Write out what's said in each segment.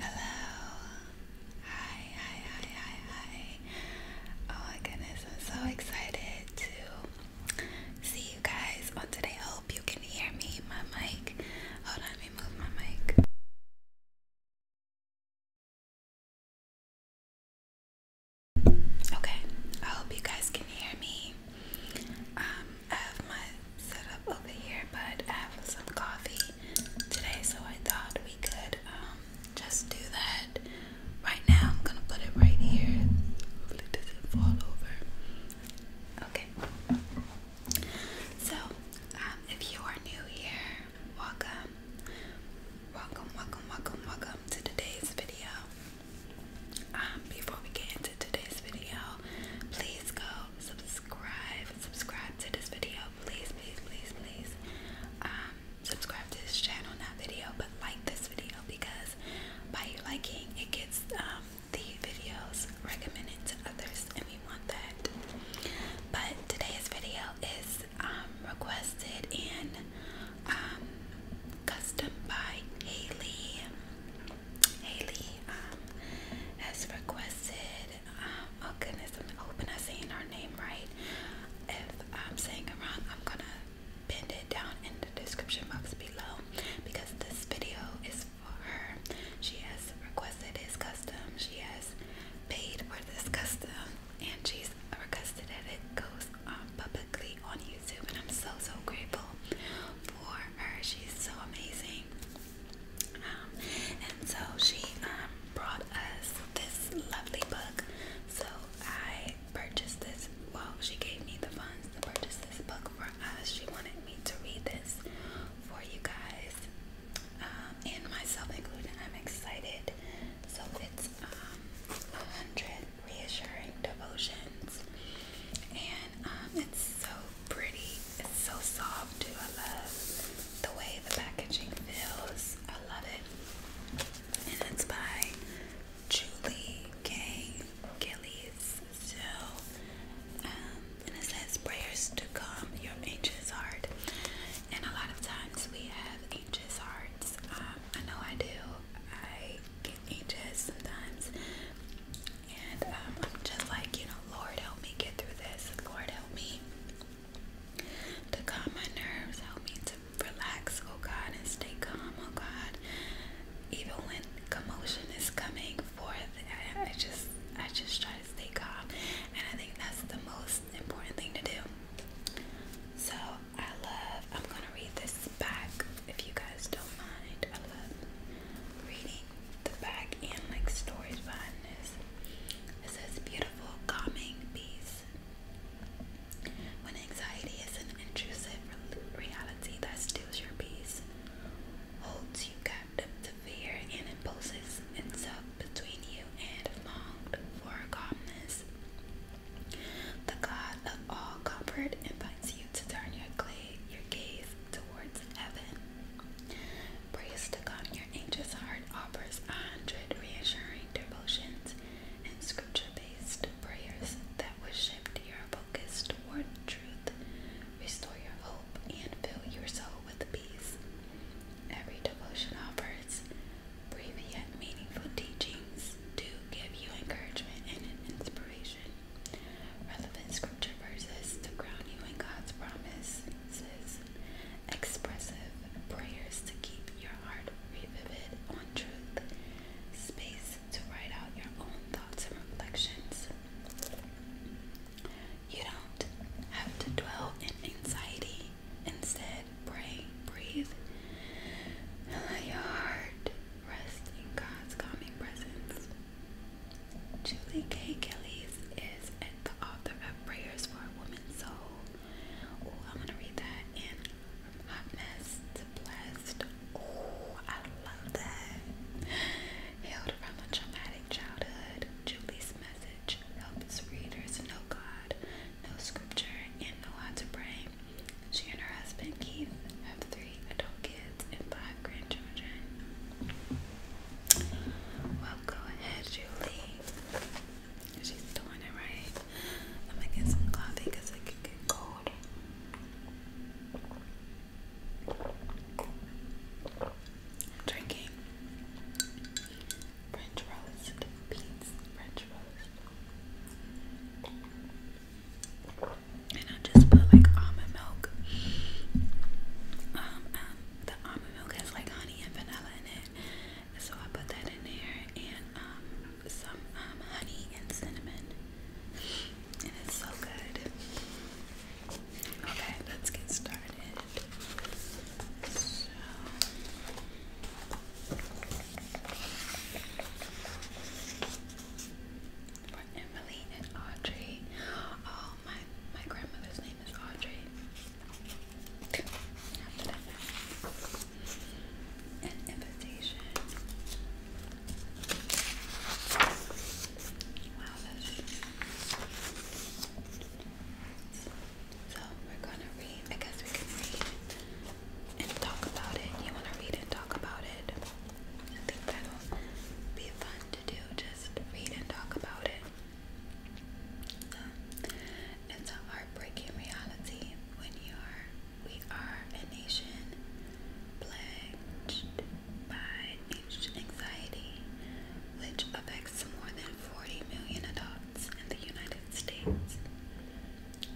Hello. Hi, hi, hi, hi, Oh my goodness, I'm so excited to see you guys on today. I hope you can hear me. My mic. Hold on, let me move my mic. Okay, I hope you guys can hear me. Um, I have my setup over here, but I have some coffee today, so I thought we could um, just do that. Right now, I'm gonna put it right here. Hopefully, doesn't fall over. Okay. So, um, if you are new here, welcome. Welcome, welcome, welcome, welcome to today's video. Um, before we get into today's video, please go subscribe. Subscribe to this video, please, please, please, please. Um, subscribe to this channel, not video, but like this video because by you liking, it gets um, videos recommended to others, and we want that. But today's video is um, requested in. Um, custom by Haley. Haley um, has requested. Um, oh goodness, I'm I'm saying her name right. If I'm saying it wrong, I'm gonna pin it down in the description box below because this video is for her. She has requested this custom. She has paid for this custom and she's requested that it goes um, publicly on YouTube, and I'm so so grateful for her. She's so amazing. Um, and so she um, brought us this lovely book. So I purchased this. Well, she gave me the funds to purchase this book for us. She wanted me to read this for you guys um, and myself included. I'm excited. So it's um, 100 reassuring devotions, and um, it's so pretty. It's so soft too. I love the way the packaging feels. I love it, and it's by Julie K. Gillies. So, um, and it says prayers to calm your angel's heart. And a lot of times we have angel's hearts. Um, I know I do. I get anxious sometimes, and um, I'm just like, you know, Lord, help me get through this. Lord, help me to calm my nerves. Help me to relax, oh God, and stay calm, oh God. Even when commotion is coming forth, I just, I just try to stay calm, and I think that's the most important thing to do. So I love, I'm gonna read this back if you guys don't mind. I love reading the back and like stories behind this. It says, beautiful, calming peace. When anxiety is an intrusive reality that steals your peace, holds you captive to fear, and imposes itself between you and longed for calmness. The God of all comfort invites you to turn your, clay, your gaze towards heaven. Praise to God, your anxious heart offers a hundred reassuring devotions and scripture-based prayers that will shift your focus toward truth, restore your hope, and fill your soul with peace. Every devotion offers Brief yet meaningful teachings do give you encouragement and inspiration. Relevant scripture verses to ground you in God's promises. Expressive prayers to keep your heart revivid on truth. Space to write out your own thoughts and reflections. You don't have to dwell in anxiety. Instead, it, breathe. Let your heart rest in God's calming presence. Julie K. Kelly's is the author of Prayers for a Woman's Soul. Oh, I'm gonna read that in From Blessed. Oh, I love that. Hailed from a traumatic childhood, Julie's message helps readers know God no scripture, and no how to pray. She and her husband Keith have three adult kids and five grandchildren. Well, go ahead, Julie. She's doing it right. I'm get some coffee because it get cold. I'm drinking French roast beans, French and I just put like almond milk. Um, the almond milk has like honey and vanilla in it, so I put that in there, and um, some um, honey and cinnamon, and it's so good. Okay, let's get started. So, for Emily and Audrey. Oh, my my grandmother's name is Audrey. an invitation. Wow, so we're gonna read. I guess we can read and talk about it. You want to read and talk about it. I think that'll be fun to do. Just read and talk about it. Um, it's a heartbreaking reality when you are, we are a nation plagued by anxiety, which affects more than 40 million adults in the United States.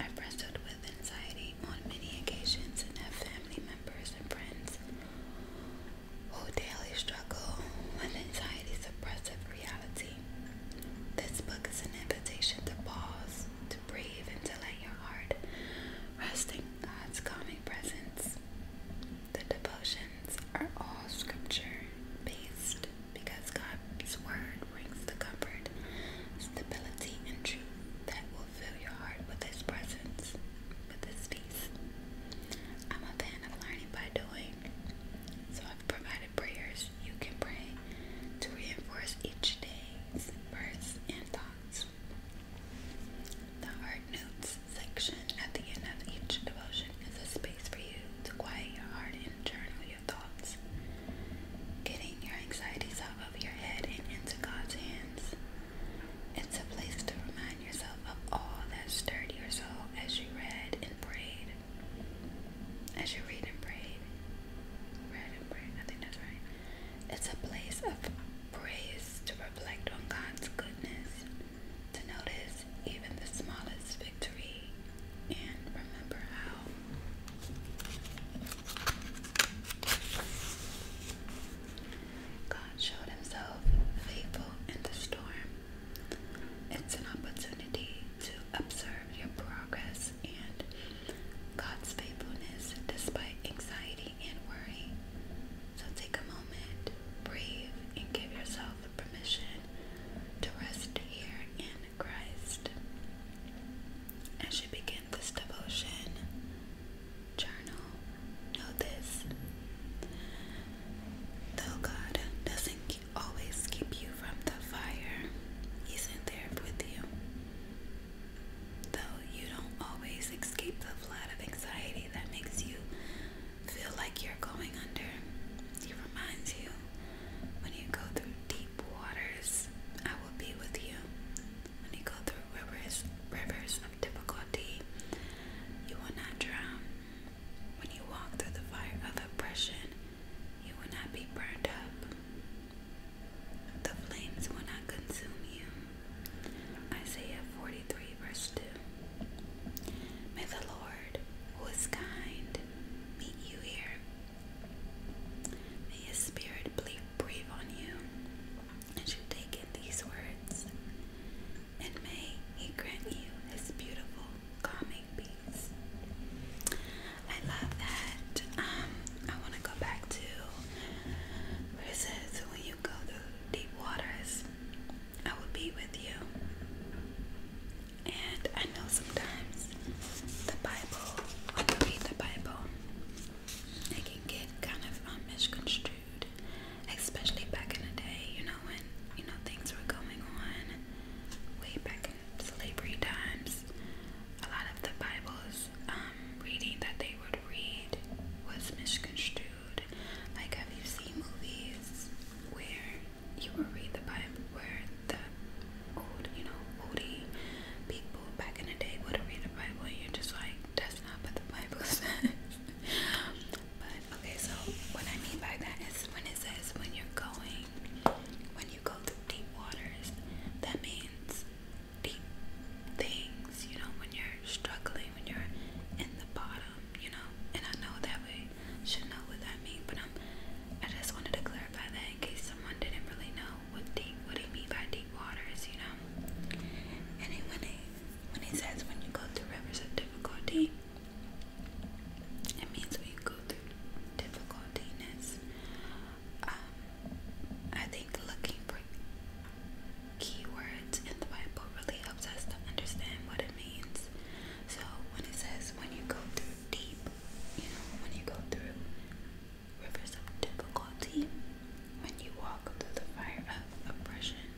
I wrestled anxiety on many occasions and have family members and friends who daily struggle with anxiety's oppressive reality. This book is an invitation to pause, to breathe, and to let your heart rest in God's calming presence. The devotions are all scripture based because God's word brings the comfort, stability, and truth that will fill your heart with His presence, with His peace. I'm a fan of learning by doing, so I've provided prayers you can pray to reinforce each day's verse and thoughts. The Heart Notes section at the end of each devotion is a space for you to quiet your heart and journal thoughts, getting your anxieties out of your head and into God's hands. It's a place to remind yourself of all that stirred your soul as you read and prayed. As you read and prayed. Read and prayed, I think that's right. It's a place of praise to reflect on God's goodness, to notice even the smallest victory and remember how God showed Himself faithful in the storm. It's an opportunity to observe your progress and God's faithfulness despite anxiety and worry. So take a moment, breathe, and give yourself permission to rest here in Christ. As you begin this devotion, journal, know this. Though God doesn't always keep you from the fire, He's in there with you. Though you don't always escape the flood of anxiety that makes you feel like you're going under, He reminds you when you go through deep deep waters, I will be with you. When you go through rivers, rivers of difficulty, you will not drown. When you walk through the fire of oppression, you will not be burned up. The flames will not consume you. Isaiah 43, verse 2. May the Lord, who is kind, meet you here May His Spirit breathe on you as you take in these words, and may He grant you His beautiful, calming peace. I love that. Um, I want to go back to where it says, When you go through deep waters, I will be with you. And I know sometimes the Bible, when you read the Bible, it can get kind of um, misconstrued, especially back in the day, you know, when you know things were going on way back in slavery times. A lot of the Bible's um, reading that they would read was misconstrued. Like, have you seen movies where you will read the Bible, where the old, you know, moody people back in the day would read the Bible and you're just like, that's not what the Bible says. but okay, so what I mean by that is when it says when you're going, when you go through deep waters, that means deep things, you know, when you're struggling, when you're in the bottom, you know. And I know that we should know what that means, but I'm I just wanted to clarify that in case someone didn't really know what deep what he mean by deep waters, you know. And he, when he when he says when you go through rivers of difficulty, it means when you go through difficultiness. Um, I think looking for keywords in the Bible really helps us to understand what it means. So when it says when you go through deep you know, when you go through rivers of difficulty, when you walk through the fire of oppression,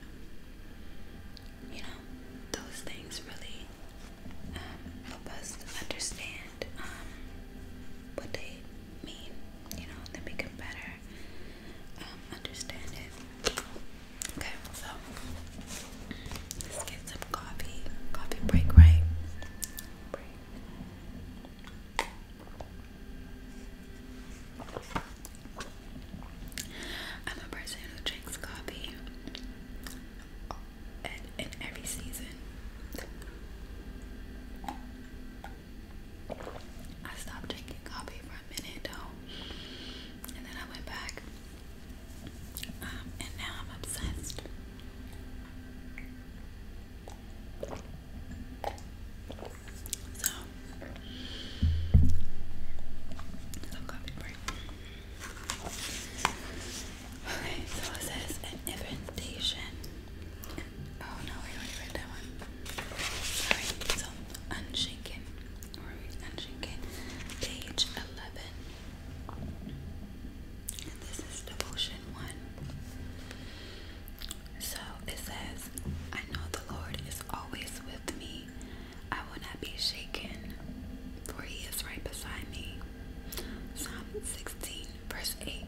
you know, those things really um, help us understand um, what they mean, you know, they become better um, understand it. Okay, so let's get some coffee. Coffee break, right? Break. I'm a person who drinks coffee in, in every season. I stopped drinking coffee for a minute though, and then I went back, um, and now I'm obsessed. So, so coffee break. Okay, so it says an invitation. Oh no, I already read that one. Sorry, so unshaken. Or unshaken. Page eleven this is devotion one. So it says, I know the Lord is always with me. I will not be shaken, for he is right beside me. Psalm 16, verse 8.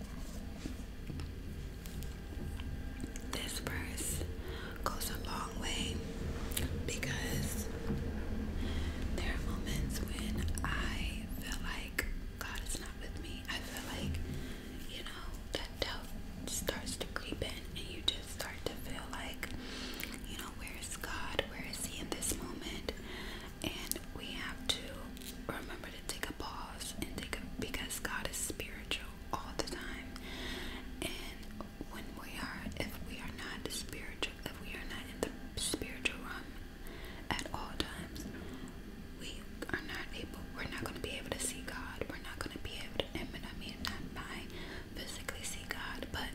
This verse goes a long way because there are moments when I feel like God is not with me, I feel like, you know, that doubt starts to creep in and you just start to feel like, you know, where is God? Where is He in this moment? And we have to remember to take a pause and take a because God is spiritual all the time. And when we are, if we are not spiritual, if we are not in the spiritual realm at all times. We are not able, we're not going to be able to see God. We're not going to be able to, I mean, not by physically see God, but,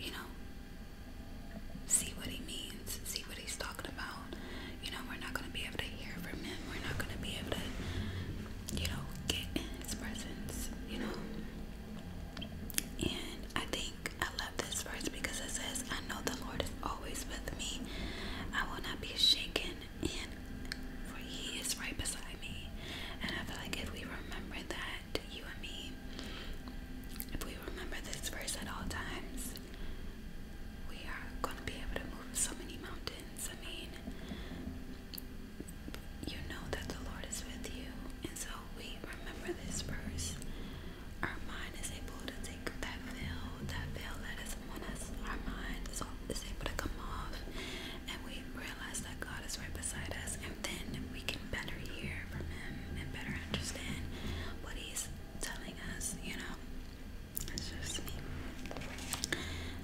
you know, see what he means, see what he's talking about. You know, we're not going to be able to hear from him. We're not going to be able to, you know, get in his presence, you know. And I think I love this verse because it says, I know the Lord is always with me. I will not be shaken, and for He is right beside me. And I feel like if we remember that, you and me, if we remember this verse at all times, we are going to be able to move so many mountains. I mean, you know that the Lord is with you, and so we remember this verse our mind is able to take that veil, that veil that is on us. Our mind is, is able to come off, and we realize that God is right beside us, and then we can better hear from Him and better understand what He's telling us. You know, it's just me.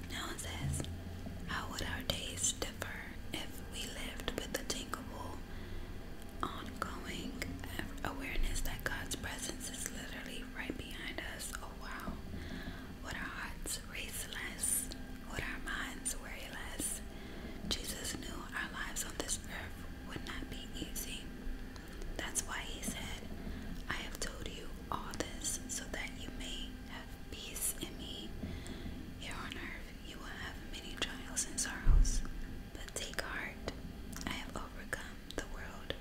Now it says, "How would our days differ if we lived with the thinkable ongoing awareness that God's presence is literally right behind us. Oh wow. Would our hearts race less? Would our minds worry less? Jesus knew our lives on this earth would not be easy. That's why he said, I have told you all this so that you may have peace in me. Here on earth you will have many trials and sorrows, take heart. I have overcome the world.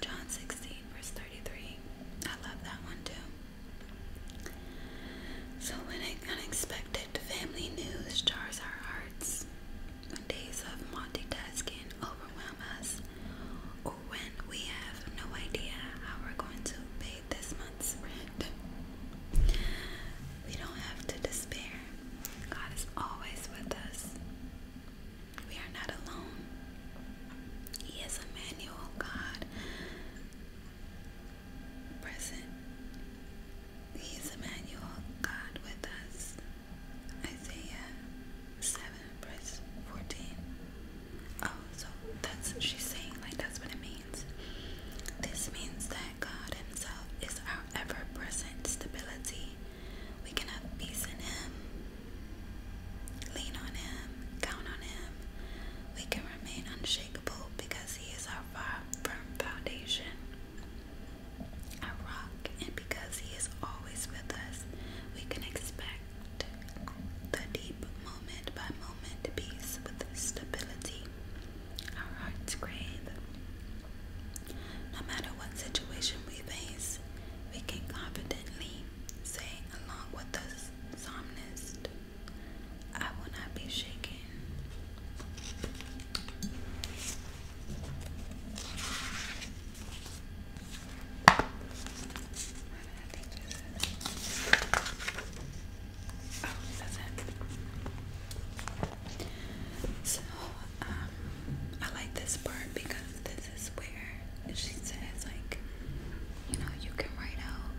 John 16, verse 33. I love that one too. So, when unexpected family news jars our hearts, when days of multitasking overwhelm us, or when we have no idea how we're going to pay this month's rent, we don't have to despair. God is always with us. We are not alone. He is Emmanuel, God present. He is Emmanuel, God with us. Isaiah 7, verse 14. Oh, so that's she's saying, like, that's what it means. This means that God Himself is our ever present stability. We can have peace in Him, lean on Him, count on Him. We can remain unshakable because He is our firm foundation, our rock, and because He is always with us, we can expect the deep moment by moment peace with stability. Our hearts crave no matter what situation we face, we can confidently say, along with the psalmist, I will not be shaken. Oh, so, um, I like this part because this is where she says, like, you know, you can write out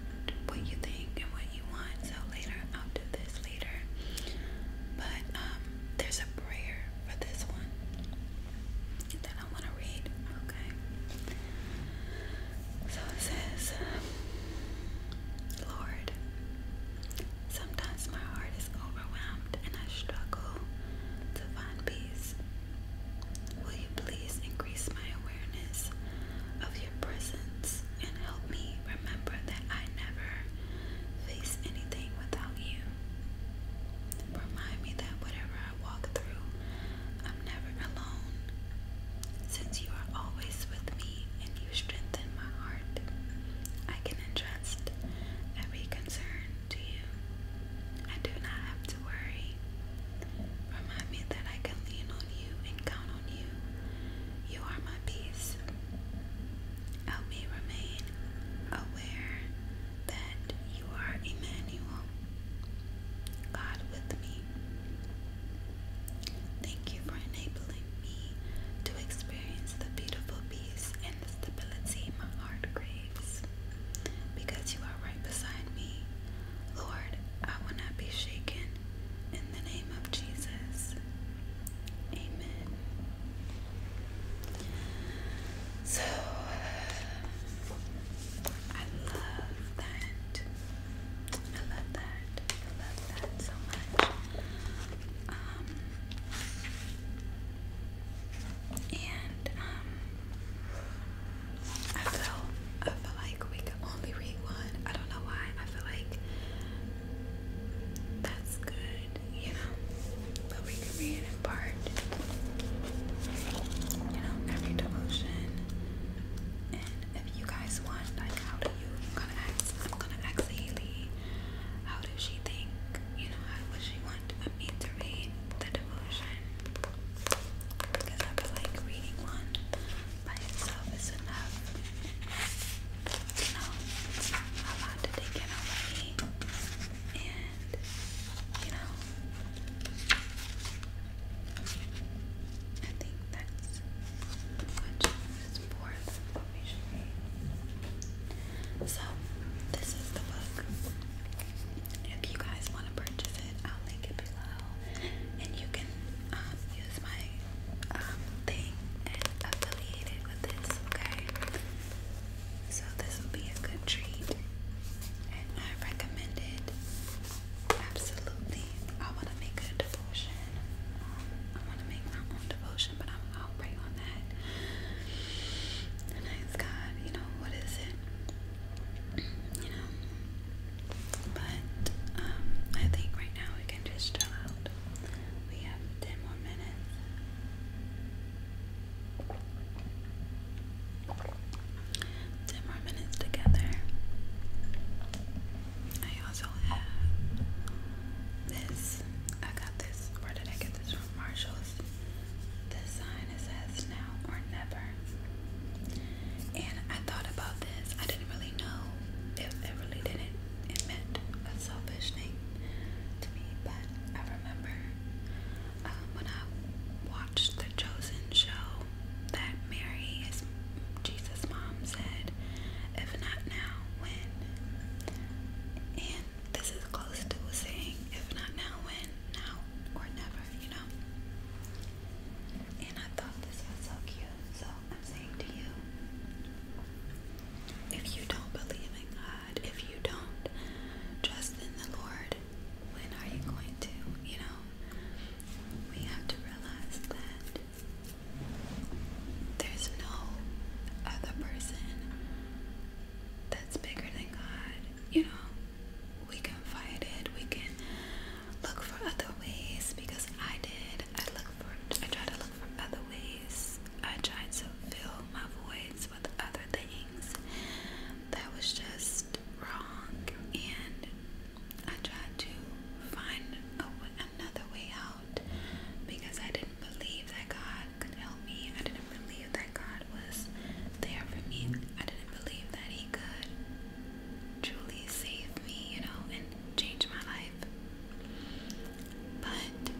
what you think and what you want. So later, I'll do this later. But um, there's a prayer for this one that I want to read. Okay. So it says, Lord, Sometimes my heart is overwhelmed and I struggle to find peace. Will you please increase my awareness of your presence and help me remember that I never face anything without you? Remind me that whatever I walk through, I'm never alone. Since you are always with me and you strengthen my heart, I taken every concern to you. I do not have to worry. Remind me that I can lean on you and count on you. You are my peace. Help me remain aware that you are Emmanuel, God with me. Thank you for enabling to experience the beautiful peace and the stability my heart craves. Because you are right beside me, Lord, I will not be shaken in the name of Jesus. Amen. So, I love that. I love that. I love that so much. Um, and um, I feel I feel like we can only read one. I don't know why. I feel like that's good, you know. But we can read in part. You know, every devotion. And if you guys want, like, how do you going I'm gonna ask Haley how does she think, you know, how would she want me to read the devotion? Because I feel like reading one by itself is enough. You know, a lot to take in already. And you know I think that's what you it's fourth So this is the book. If you guys want to purchase it, I'll link it below, and you can um, use my um, thing and with this. Okay. So this will be a good treat, and I recommend it. Absolutely. I want to make a devotion. I want to make my own devotion question, but I'm i on that. And God, you know, what is it? You know. But um, I think right now we can just chill out. We have ten more minutes. Ten more minutes together. I also have this. I got this. Where did I get this from? Marshalls. This sign it says now or never. And I thought about this. I didn't really know if it really didn't. It meant a selfish thing to me, but I remember um, when I watched the Chosen show that Mary, his Jesus' mom, said if not now, when? And this is close to saying, if not now, when? Now or never, you know? And I thought this was so cute, so I'm saying to you if you don't believe in God, if you don't trust in the Lord, when are you going to? You know, we have to realize that there's no other person that's bigger than God. You know, we can fight it, we can look for other ways because I did. I look for I try to look for other ways. I tried to fill my voids with other things that was just wrong and I tried to find another way out because I didn't believe that God could help me. I didn't believe that God was there for me. I didn't believe that He could truly save me, you know, and change my life. But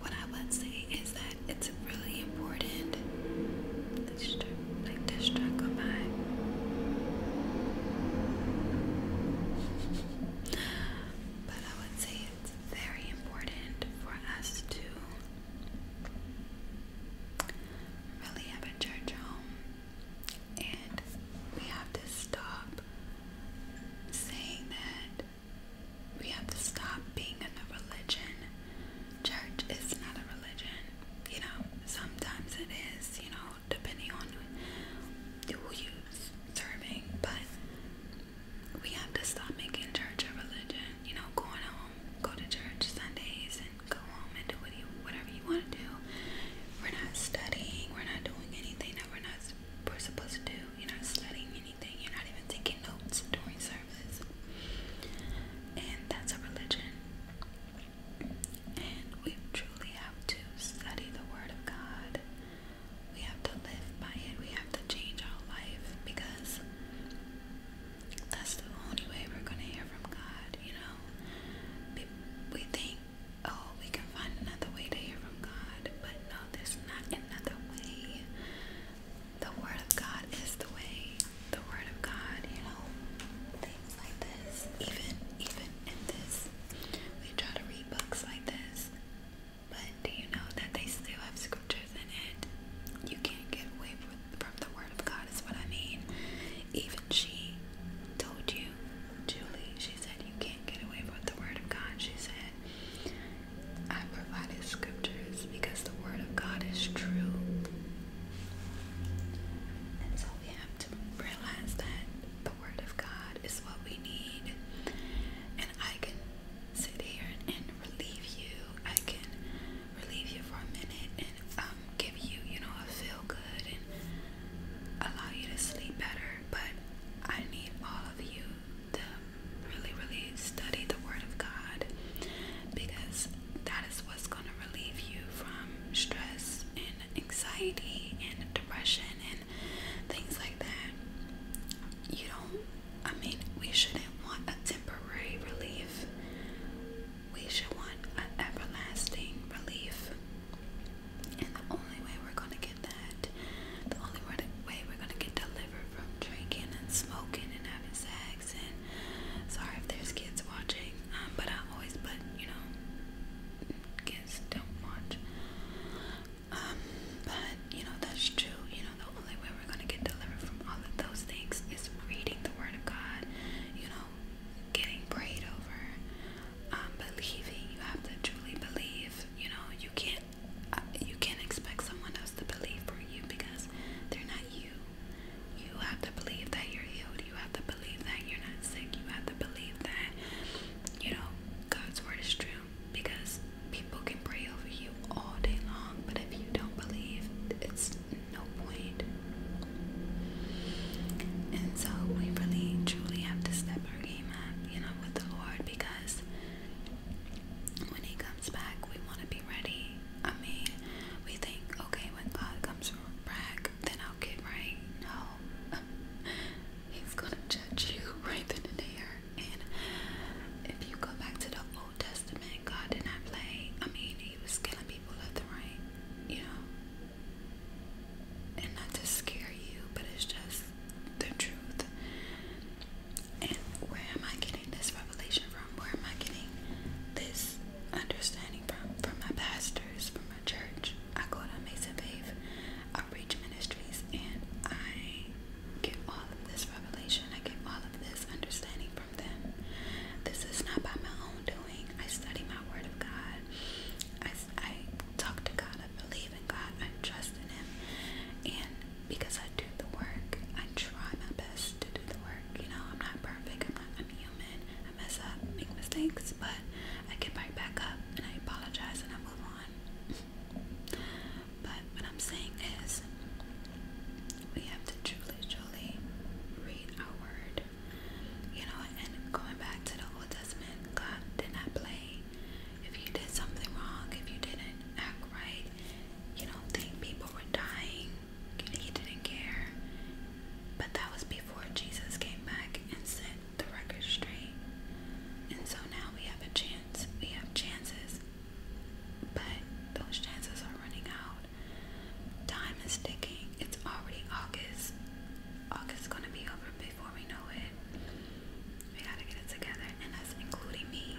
what I would say is that it's really important this like this struggle by but I would say it's very important for us to really have a church home, and we have to stop saying that. We have to stop being in a religion. Church is not a religion, you know. Sometimes it is, you know depending on who you're serving, but we have to stop making church a religion. You know, going home, go to church Sundays, and go home and do whatever you want to do. We're not studying. We're not doing anything that we're not we're supposed to do. You're not studying anything. You're not even taking notes during service, and that's a religion. And we truly have to study the Word of God we have to live by it. We have to change our life because that's the only way we're going to hear from God, you know? We, we think, oh, we can find another way to hear from God, but no, there's not another way. The Word of God is the way. The Word of God, you know? Things like this. Even, even in this, we try to read books like this, but do you know that they still have scriptures in it? You can't get away from the Word of God, is what I mean. Even she told you, Julie, she said, You can't get away from the Word of God. She said, I provided scriptures because the Word of God is true. And so we have to realize that the Word of God is what we need. And I can sit here and, relieve you. I can relieve you for a minute and um, give you, you know, a feel good and allow you to sleep better. But I need all of you to really, really study the Word of God because that is what's going to relieve you from stress and and anxiety and depression and things like that. You don't, I mean, we shouldn't want a temporary relief, we should want an everlasting relief. And the only way we're going to get that, the only way we're going to get delivered from drinking and smoking and having sex and sorry if there's kids watching, um, but I always put, you know, don't watch. Um, but you know that's true. You know the only way we're gonna get delivered from all of those things is reading the Word of God. You know, getting prayed over, um, believing. You have to truly believe. You know, you can't uh, you can't expect someone else to believe for you because they're not you. You have to believe that you're healed. You have to believe that you're not sick. You have to believe that you know God's word is true because people can pray over you all day long, but if you don't believe, it's no point. And so we really truly have to step our game up, you know, with the Lord because when He comes back, we want to be ready. I mean, we think, okay, when God comes back, then I'll get right. No, He's gonna judge you right there. And if you go back to the Old Testament, God did not play. I mean, He was killing people left and right, you know. And not to scare you, but it's just the truth. And where am I getting this revelation from? Where am I getting this understanding from? From my pastors, from church. I go to Mason I Outreach Ministries and I get all of this revelation. I get all of this understanding from them. This is not by my own doing. I study my Word of God. I, I talk to God. I believe in God. I trust in Him. And because I do the work, I try my best to do the work. You know, I'm not perfect. I'm not. I'm human. I mess up, make mistakes, but I get right back up and I apologize and I am but what I'm saying is, we have to truly, truly read our word. You know, and going back to the Old Testament, God did not play. If you did something wrong, if you didn't act right, you know, think people were dying. He didn't care. But that was before Jesus came back and said, the record straight. And so now we have a chance. We have chances. But those chances are running out. Time is ticking. It's already August. August is gonna be over before we know it. We gotta get it together, and that's including me.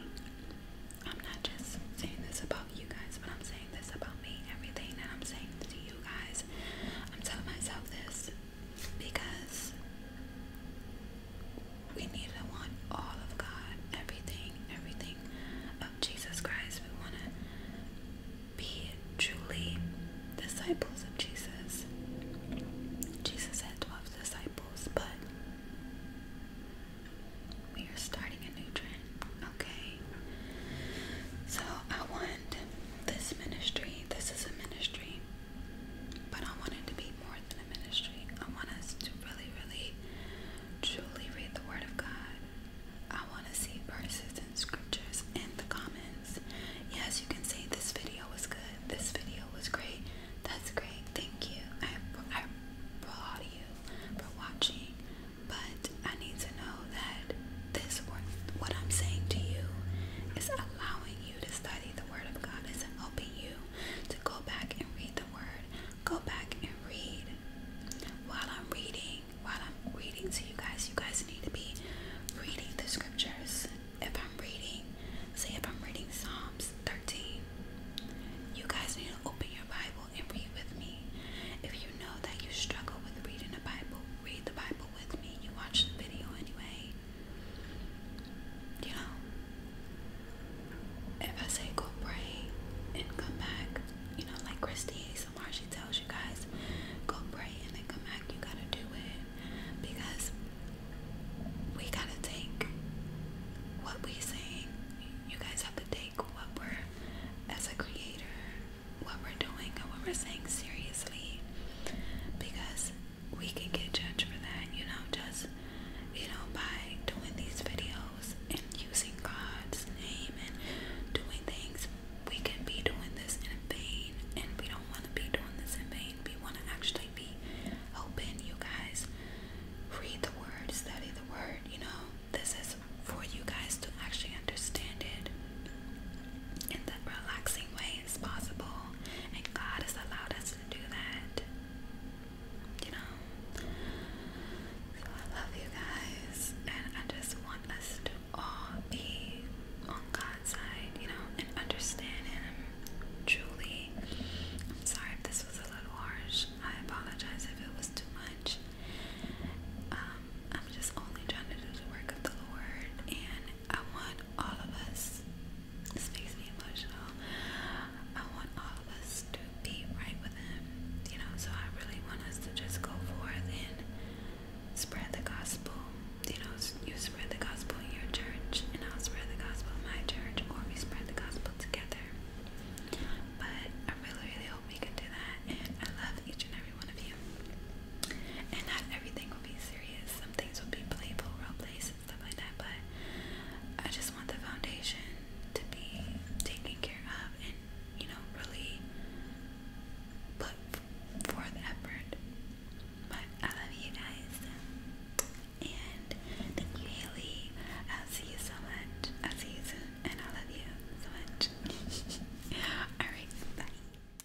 I'm not just saying this about you guys, but I'm saying this about me. Everything that I'm saying to you guys, I'm telling myself this because we need to want all of God, everything, everything of Jesus Christ. We want to be truly disciples of Jesus. Jesus had 12 disciples, but we are starting a new trend, okay? So I want this ministry, this is a ministry but I want to be more than a ministry. I want us to really, really, truly read the Word of God. I want to see verses and scriptures in the comments. Yes, you can say this video was good. This video was great. That's great. Thank you. I, I applaud you for watching. But I need to know that this, what I'm saying to you, is allowing you to study the Word of God isn't helping you to go back and read the Word. Go back and read. While I'm reading, while I'm reading to you guys, you guys need to be reading the scriptures. If I'm reading, say if I'm reading Psalms 13, you guys need to open your Bible and read with me. If you know that you struggle with reading the Bible, read the Bible with me. You watch the video anyway you know, if I say go pray and come back, you know, like Christy ASMR, she tells you guys, go pray and then come back, you gotta do it because we gotta take what we saying. You guys have to take what we're as a creator, what we're doing and what we're saying seriously because we can get judged for that, you know, just you know, by doing these videos and using God's name and doing things, we can be doing this in vain, and we don't want to be doing this in vain. We want to actually be helping you guys read the word, study the word, you know. This is for you guys to actually understand it, in the relaxing way as possible. And God has allowed us to do that. You know? So I love you guys. And I just want us to all be on God's side, you know, and understand Him truly. I'm sorry if this was a little harsh. I apologize if it was too much. Um, I'm just only trying to do the work of the Lord and I want all of us, this makes me emotional, I want all of us to be right with Him, you know, so I really want us to just go forth and spread the gospel. You know, you spread the gospel in your church, and I'll spread the gospel in my church, or we spread the gospel together. But I really, really hope we can do that, and I love each and every one of you. And not everything will be serious. Some things will be playful, role plays, and stuff like that. But I just want the foundation to be taken care of, and you know, really put forth effort. But I love you guys, and thank you, Haley. I'll see you so much. I'll see you soon, and I love you so much. All right, bye.